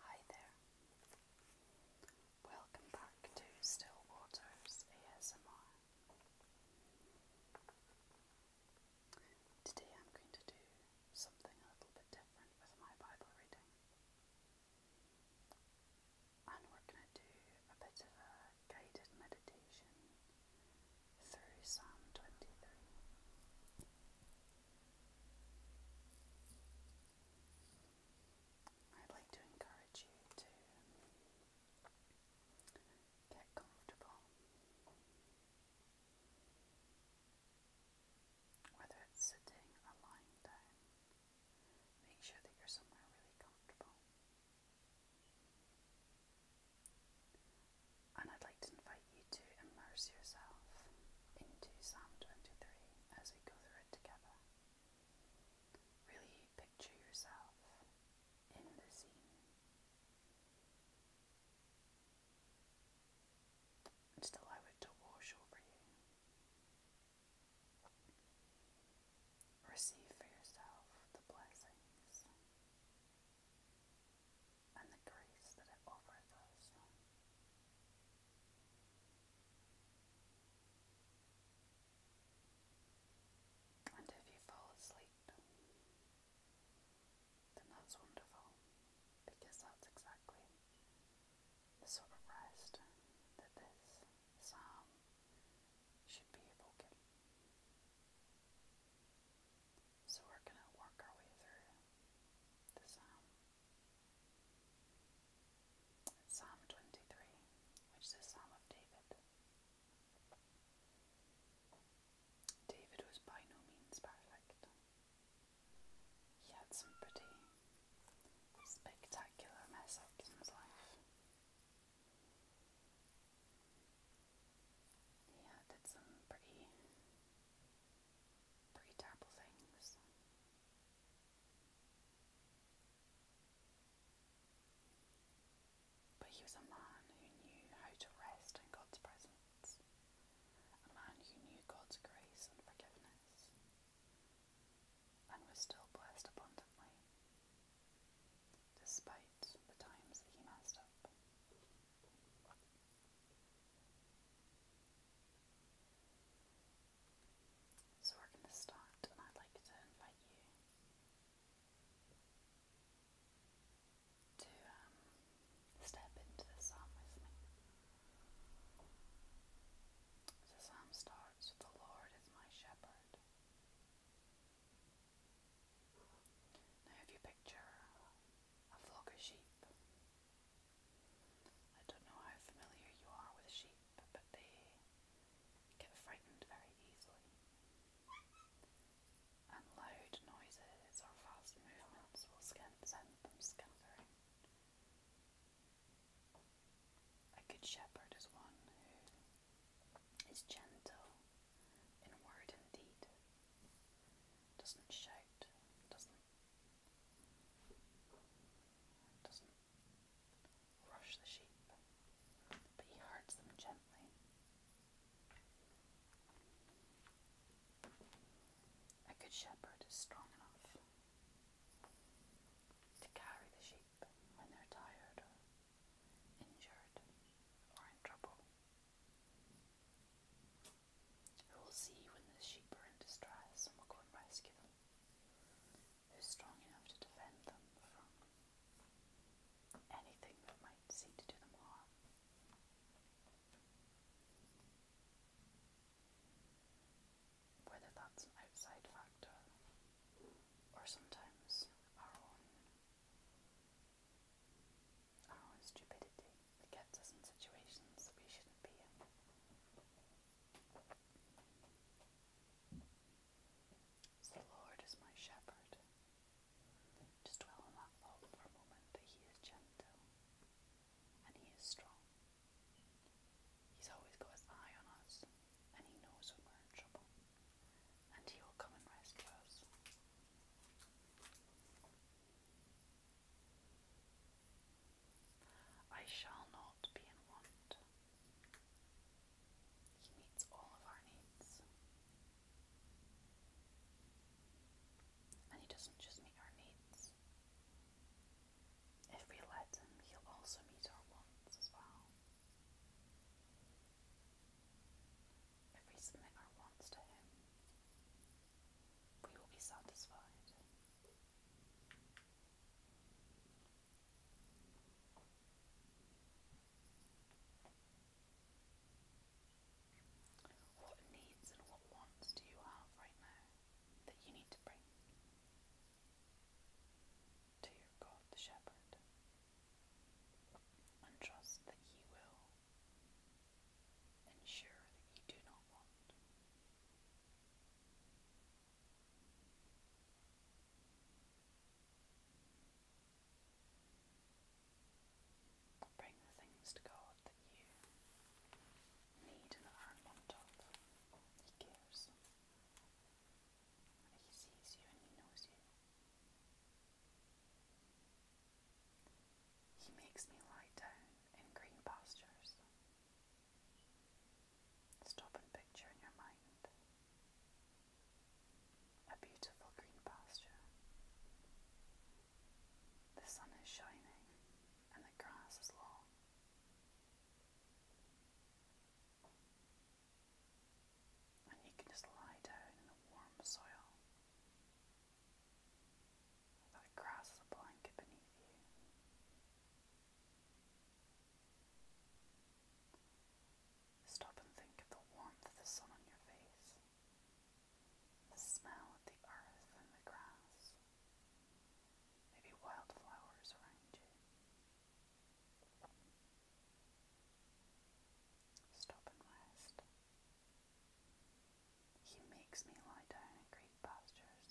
Hi there. Welcome back to Still Waters ASMR. Today I'm going to do something a little bit different with my Bible reading. And we're going to do a bit of a guided meditation through Psalm 23. I'd like to encourage you to get comfortable, whether it's sitting or lying down. Make sure that you're somewhere really comfortable. And I'd like to invite you to immerse yourself into Psalm 23 as we go through it together. Really picture yourself in the scene. Just allow it to wash over you. Receive for yourself the blessings and the grace that it offers And if you fall asleep, then that's wonderful because that's exactly the sort of rest that this psalm should be evoking. So we're going to work our way through the psalm. Psalm 23, which is a psalm of David. David was by no means perfect. He had some pretty spectacular mess ups in his life. He had did some pretty pretty terrible things. But he was a man who knew how to rest in God's presence, a man who knew God's grace and forgiveness, and was still blessed abundantly, despite the times that he messed up. So we're going to start, and I'd like to invite you to um, step into the psalm with me. The psalm starts with The Lord is my shepherd. Now, if you picture a flock of sheep, I don't know how familiar you are with sheep, but they get frightened very easily. And loud noises or fast movements will send them scattering. A good shepherd is one who is gentle in word and deed, doesn't shout, doesn't doesn't rush the sheep, but he herds them gently. A good shepherd is strong enough to carry the sheep when they're tired injured or in trouble who will see when the sheep are in distress and will go and rescue them, who is strong enough to defend them from anything that might seek to do them harm. Whether that's outside factor or sometimes our own, our stupidity. They kept us in situations we shouldn't be in. The Lord is my shepherd. Just dwell on that for a moment that He is gentle and He is strong. He's always got His eye on us and He knows when we're in trouble and He will come and rescue us. I shall not be in want. He meets all of our needs. And He doesn't just meet our needs, if we let Him, He'll also meet our wants as well. If we submit our wants to Him, we will be satisfied. What needs and what wants do you have right now that you need to bring to your God the Shepherd trust that He will ensure that you do not want? Bring the things to God that you need and are in want of. He cares. He sees you and he knows you. He makes me lie down in green postures. Stop and picture in your mind a beautiful green pasture. The sun is shining and the grass is long. And you can just lie down in the warm soil that grass is a blanket beneath you. Stop and think of the warmth of the sun on your face, the smell of the earth and the grass, maybe wildflowers around you. Stop and rest. He makes me lie down in green pastures.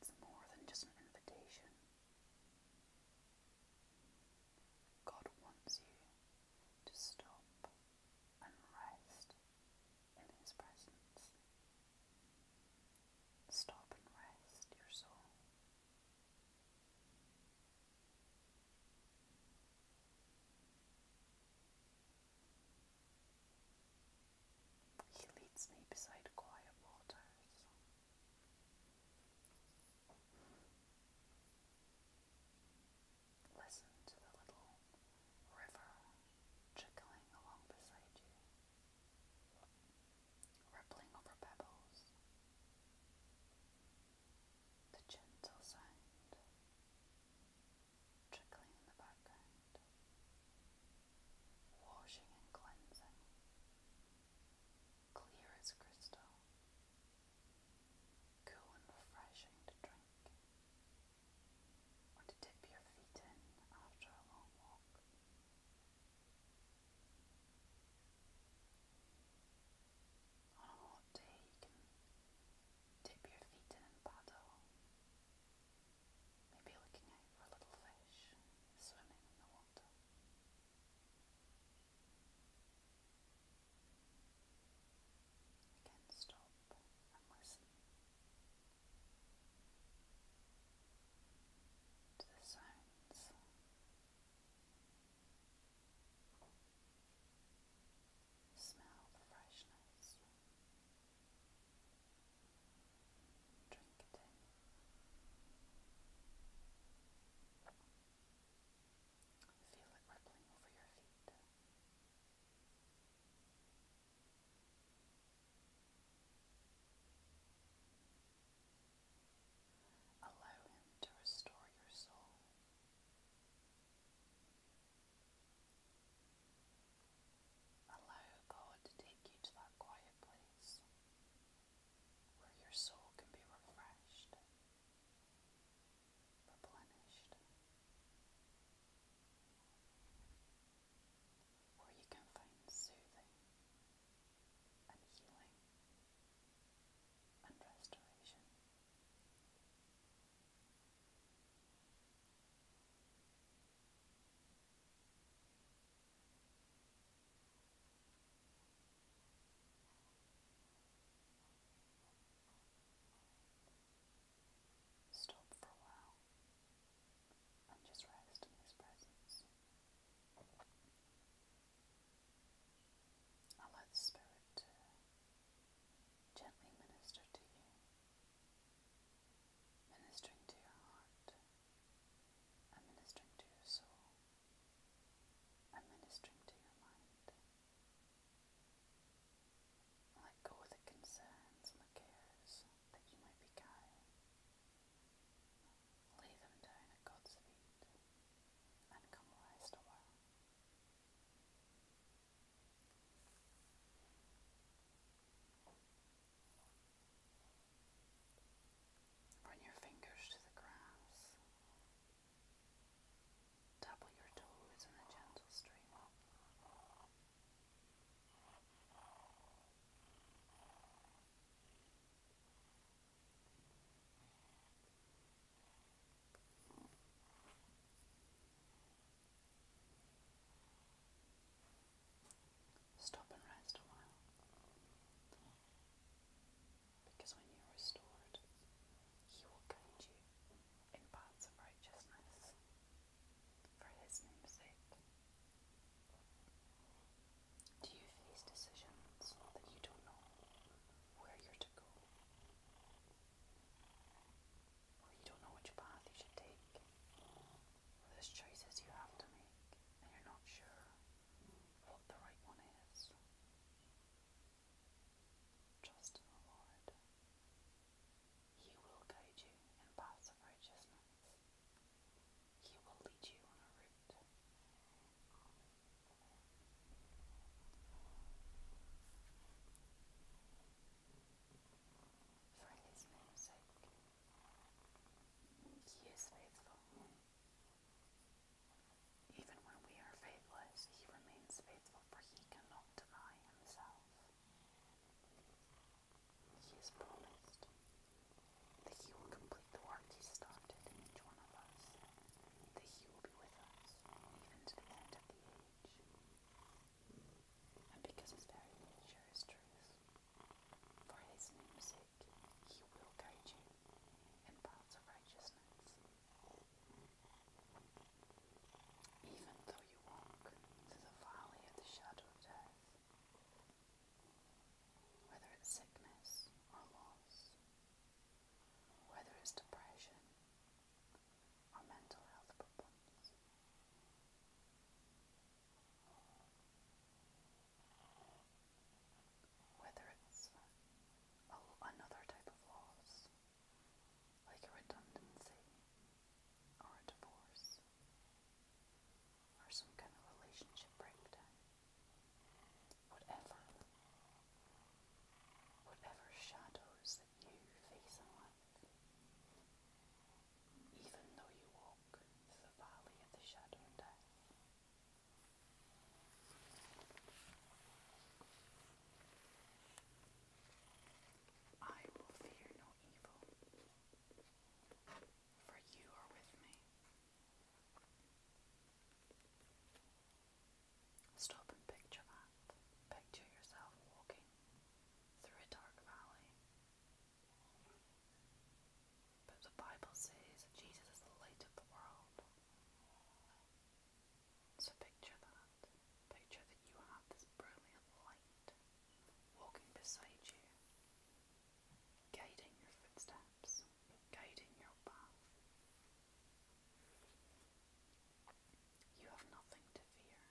It's more than just an invitation. God wants you to stop and rest in His presence. Stop and rest your soul. He leads me beside quiet waters. Listen to the little river trickling along beside you, rippling over pebbles. The gentle sound trickling in the background, washing and cleansing, clear as crystal, cool and refreshing to drink, or to dip your feet in after a long walk on a hot day you can dip your feet in and paddle. Maybe looking out for little fish swimming in the water. Again, stop and listen to the sounds. Smell the freshness. Drink it in. Feel it rippling over your feet. Allow him to restore your soul. Allow God to take you to that quiet place where your soul can be refreshed, replenished, where you can find soothing and healing and restoration. Stop for a while and just rest in his presence. Allow the spirit gently minister to you, ministering to your heart, and to your soul, and to your mind. Let go of the concerns and the cares that you might be carrying. Lay them down at God's feet and come rest a Bring your fingers to the grass. Double your toes in a gentle stream Stop and rest a while. Because when you're restored, He will guide you in paths of righteousness for His name's sake. Do you face decisions that you don't know where you're to go? you don't know which path you should take. there's choices you have to make, and you're not sure what the right one is. Trust in the Lord. He will guide you in paths of righteousness. He will lead you on a route for his name's sake. He is faithful. Even when we are faithless, he remains faithful, for he cannot deny himself. He is promised that he will complete the work he started in each one of us, that he will be with us even to the end of the age and because his very nature is truth. For his name's he will guide you in paths of righteousness. Even though you walk through the valley of the shadow of death, whether it's sickness or loss, whether it's depression or mental health problems. Whether it's another type of loss, like a redundancy or a divorce, or some kind of relationship breakdown, whatever, whatever shadows you Even though you walk through the valley of the shadow of death. I will fear no evil, for you are with me. Stop and picture that. Picture yourself walking through a dark valley. But the Bible says that Jesus is the light of the world. So picture that. Picture that you have this brilliant light walking beside you, guiding your footsteps, guiding your path. You have nothing to fear.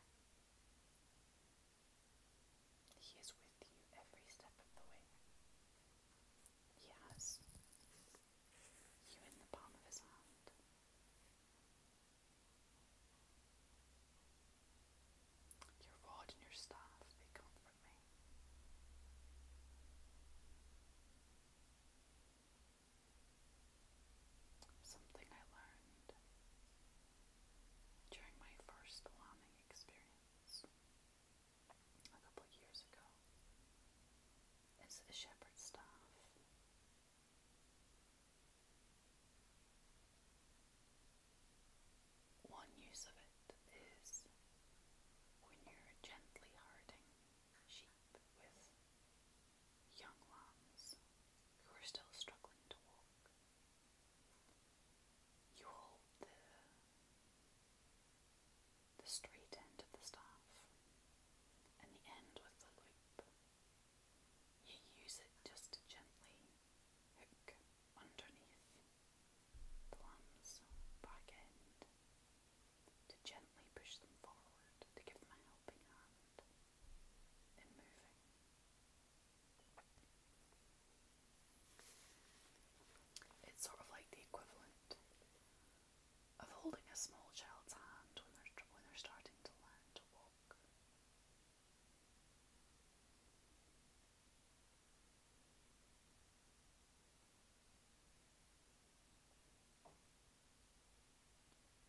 He is with you every step of the way. He you in the palm of his hand. Your rod and your staff, they comfort me. Something I learned during my first Wyoming experience a couple years ago is the shepherd's staff. One use of it is when you're gently herding sheep with young lambs who are still struggling to walk. You hold the, the straight end of the staff and the end with the loop. You use it just to gently hook underneath the lamb's back end to gently push them forward, to give them a helping hand. It's sort of like the equivalent of holding a small child's hand when they're, when they're starting to learn to walk.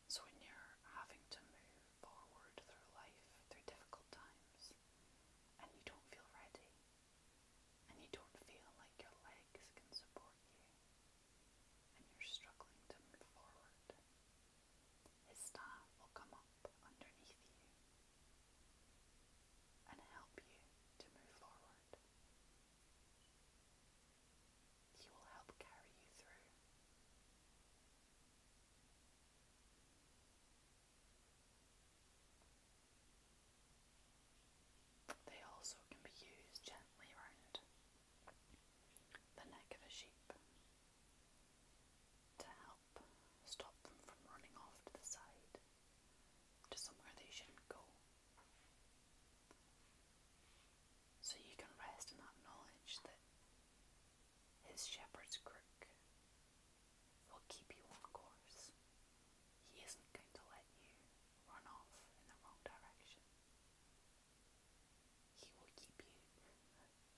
So, when you're having to move forward through life, through difficult times, and you don't feel ready, and you don't feel like your legs can support you, and you're struggling to move forward, his staff will come up underneath you and help you to move forward. He you They also can be used gently round the neck of a sheep to help stop them from running off to the side to somewhere they shouldn't go. So you can rest in that knowledge that his shepherd's crook will keep you on course. He isn't going to let you run off in the wrong direction. He will keep you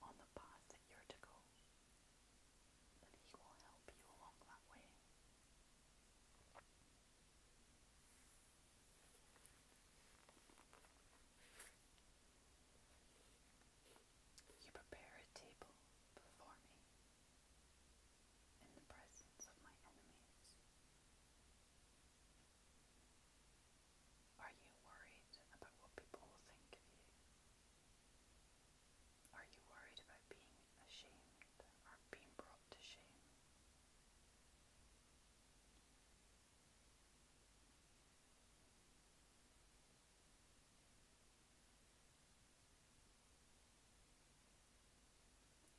on the path that you're to go, and he will help you along that way. You prepare a table before me in the presence of my enemies. Are you worried about what people will think of you? Are you worried about being ashamed or being brought to shame?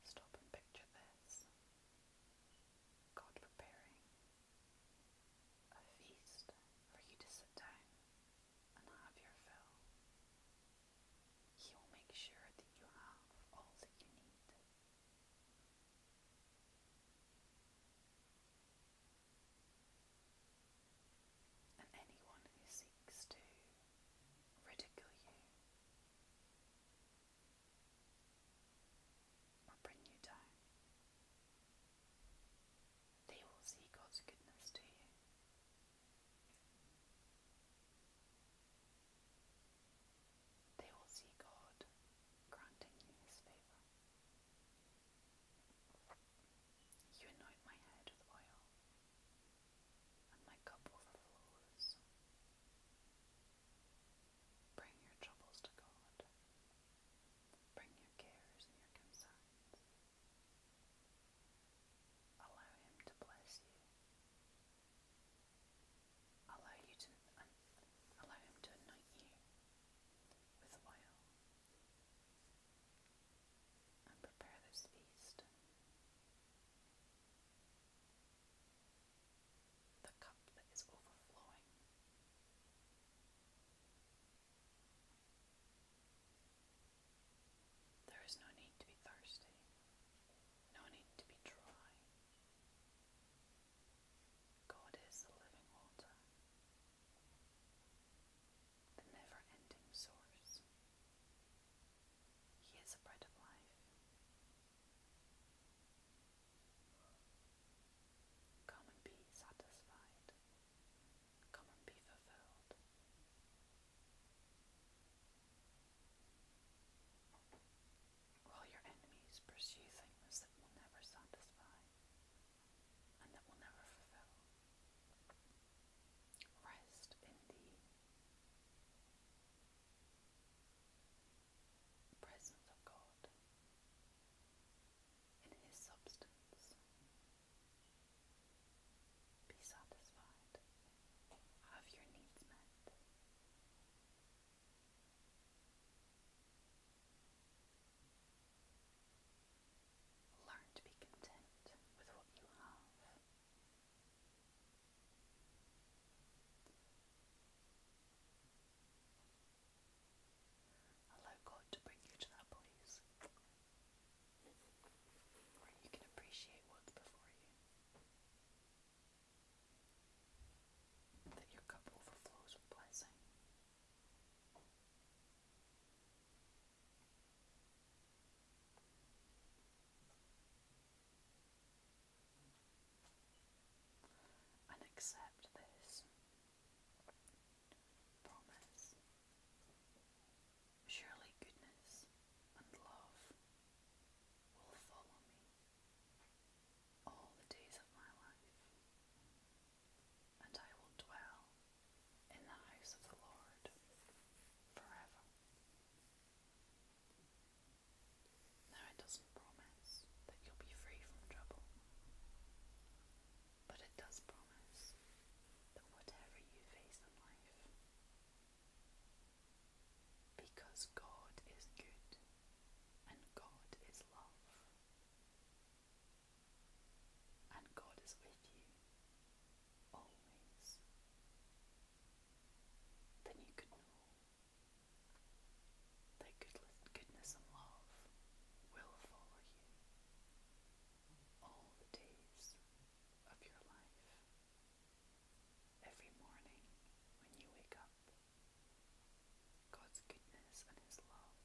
Stop and picture this God preparing a feast for you to sit down and have your fill. He will make sure that you have all that you need. And anyone who seeks to ridicule you or bring you down, they will see God's goodness to you. They will see God granting you his favour. You anoint my head with oil, and my cup overflows. Bring your troubles to God. Bring your cares and your concerns. Allow Him to bless you. Allow you to allow Him to anoint you with oil and prepare this feast. The cup that is overflowing. There is no need to be thirsty, no need to be dry, God is the living water, the never ending source. He is the bread of life. Come and be satisfied. Come and be fulfilled. While your enemies pursue things that will never satisfy and that will never fulfill, rest in the presence of God, in His substance. Be satisfied. Have your needs met. Learn to be content with what you have. Allow God to bring you to that place where you can appreciate what's before you. That your cup overflows with blessing and accept this promise. Surely goodness and love will follow me all the days of my life, and I will dwell in the house of the Lord forever. Now, it doesn't promise that you'll be free from trouble, but it does promise that whatever you face in life, because God is good and God is love, and God is with you always, then you can know that goodness and love will follow you all the days of your life. Every morning when you wake up, God's goodness and His love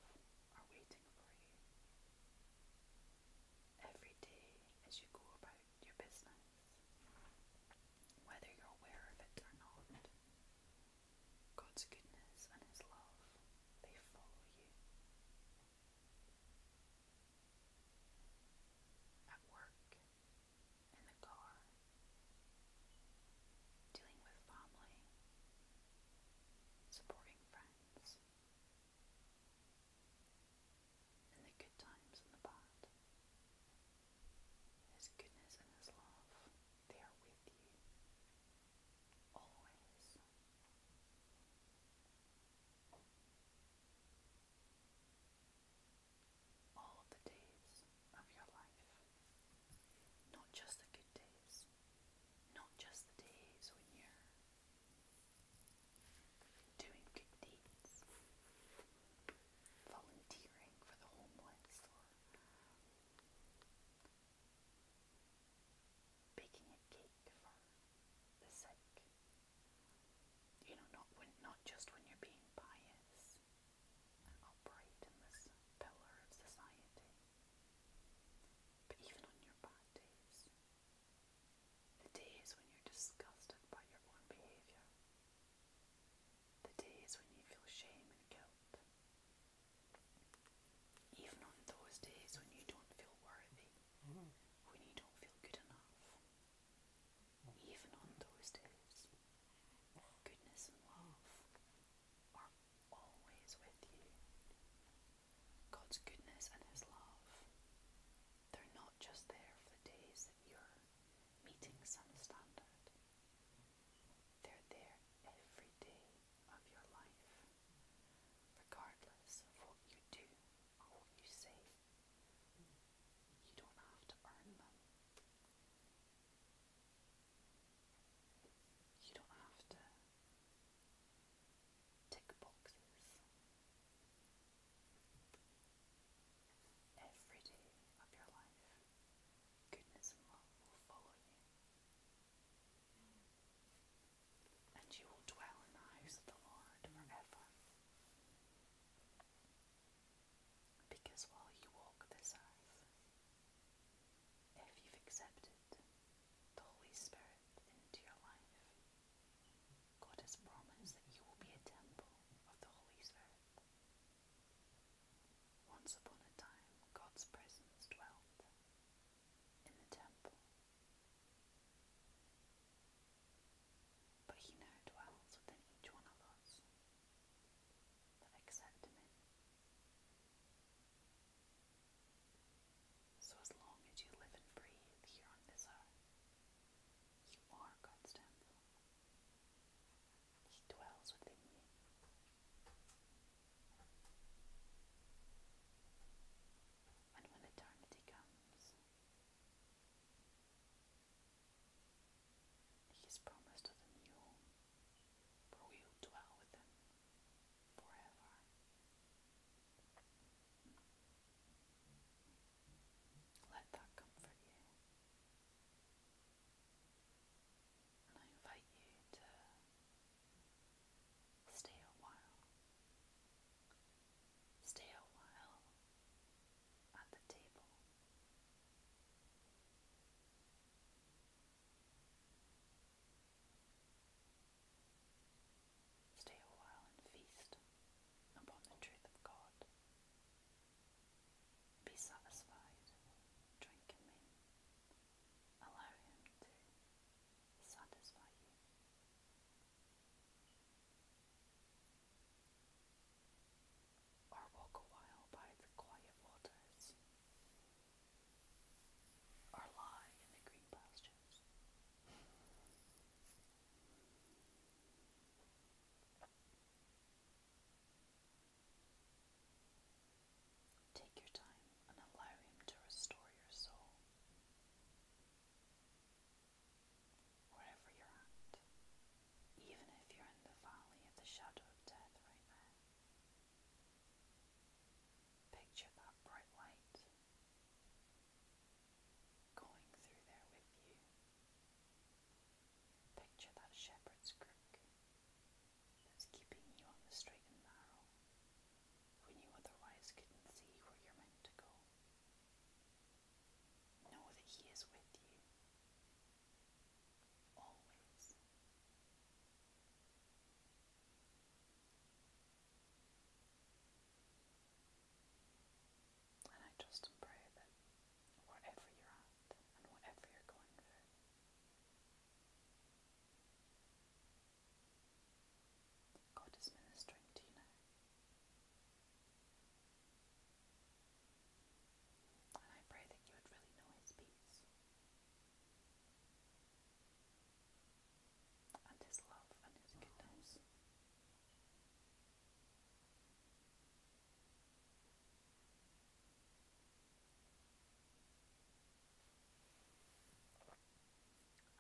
are waiting for you. Every day as you go about your business, whether you're aware of it or not, God's goodness and His love, they follow you. At work, in the car, dealing with family, supporting friends, in the good times and the bad. His goodness and His love, are with you always. All the days of your life. Not just the good days, not just the days when you're doing good deeds, volunteering for the homeless, or baking a cake for the sick. You know, not when, not just when you're being pious and upright in this pillar of society, but even on your bad days, the days when you're disgusted by your own behaviour, the days when you feel shame and guilt, even on those days when you don't feel worthy, mm. when you don't feel good enough, even on those days, goodness and love are always with you. God's goodness and His love, they're not just there for the days that you're meeting some standard, they're there every day of your life, regardless of what you do or what you say. You don't have to earn them. You don't have to tick boxes. Every day of your life, goodness and love will follow you. And you will dwell in the house of the Lord forever. Because while you walk this earth, if you've accepted the Holy Spirit into your life, God has promised that you will be a temple of the Holy Spirit. Once upon a time, God's presence dwelt in the temple. But he now dwells within each one of us that accept him so, as long as you live and breathe here on this earth, you are God's temple. He dwells within you. And when eternity comes, He's promised us a new home where we will dwell with Him forever. Let that comfort you. And I invite you to stay a while. Stay a while at the table. Stay a while and feast upon the truth of God. Be satisfied, drink in to satisfy you. Or walk a while by the quiet waters, or lie in the green pastures. Take your time and allow Him to restore your soul. Wherever you're at, even if you're in the valley of the shadow of death right now, Picture that bright light going through there with you. Picture that shepherd's crook that's keeping you on the straight and narrow when you otherwise couldn't see where you're meant to go. Know that He is with you. Always. And I trust pray that wherever you're at and whatever you're going through, God is ministering to you And I pray that you would really know His peace and His love and His goodness. And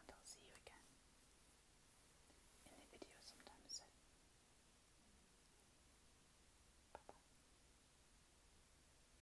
I'll see you again in the video sometime Bye bye.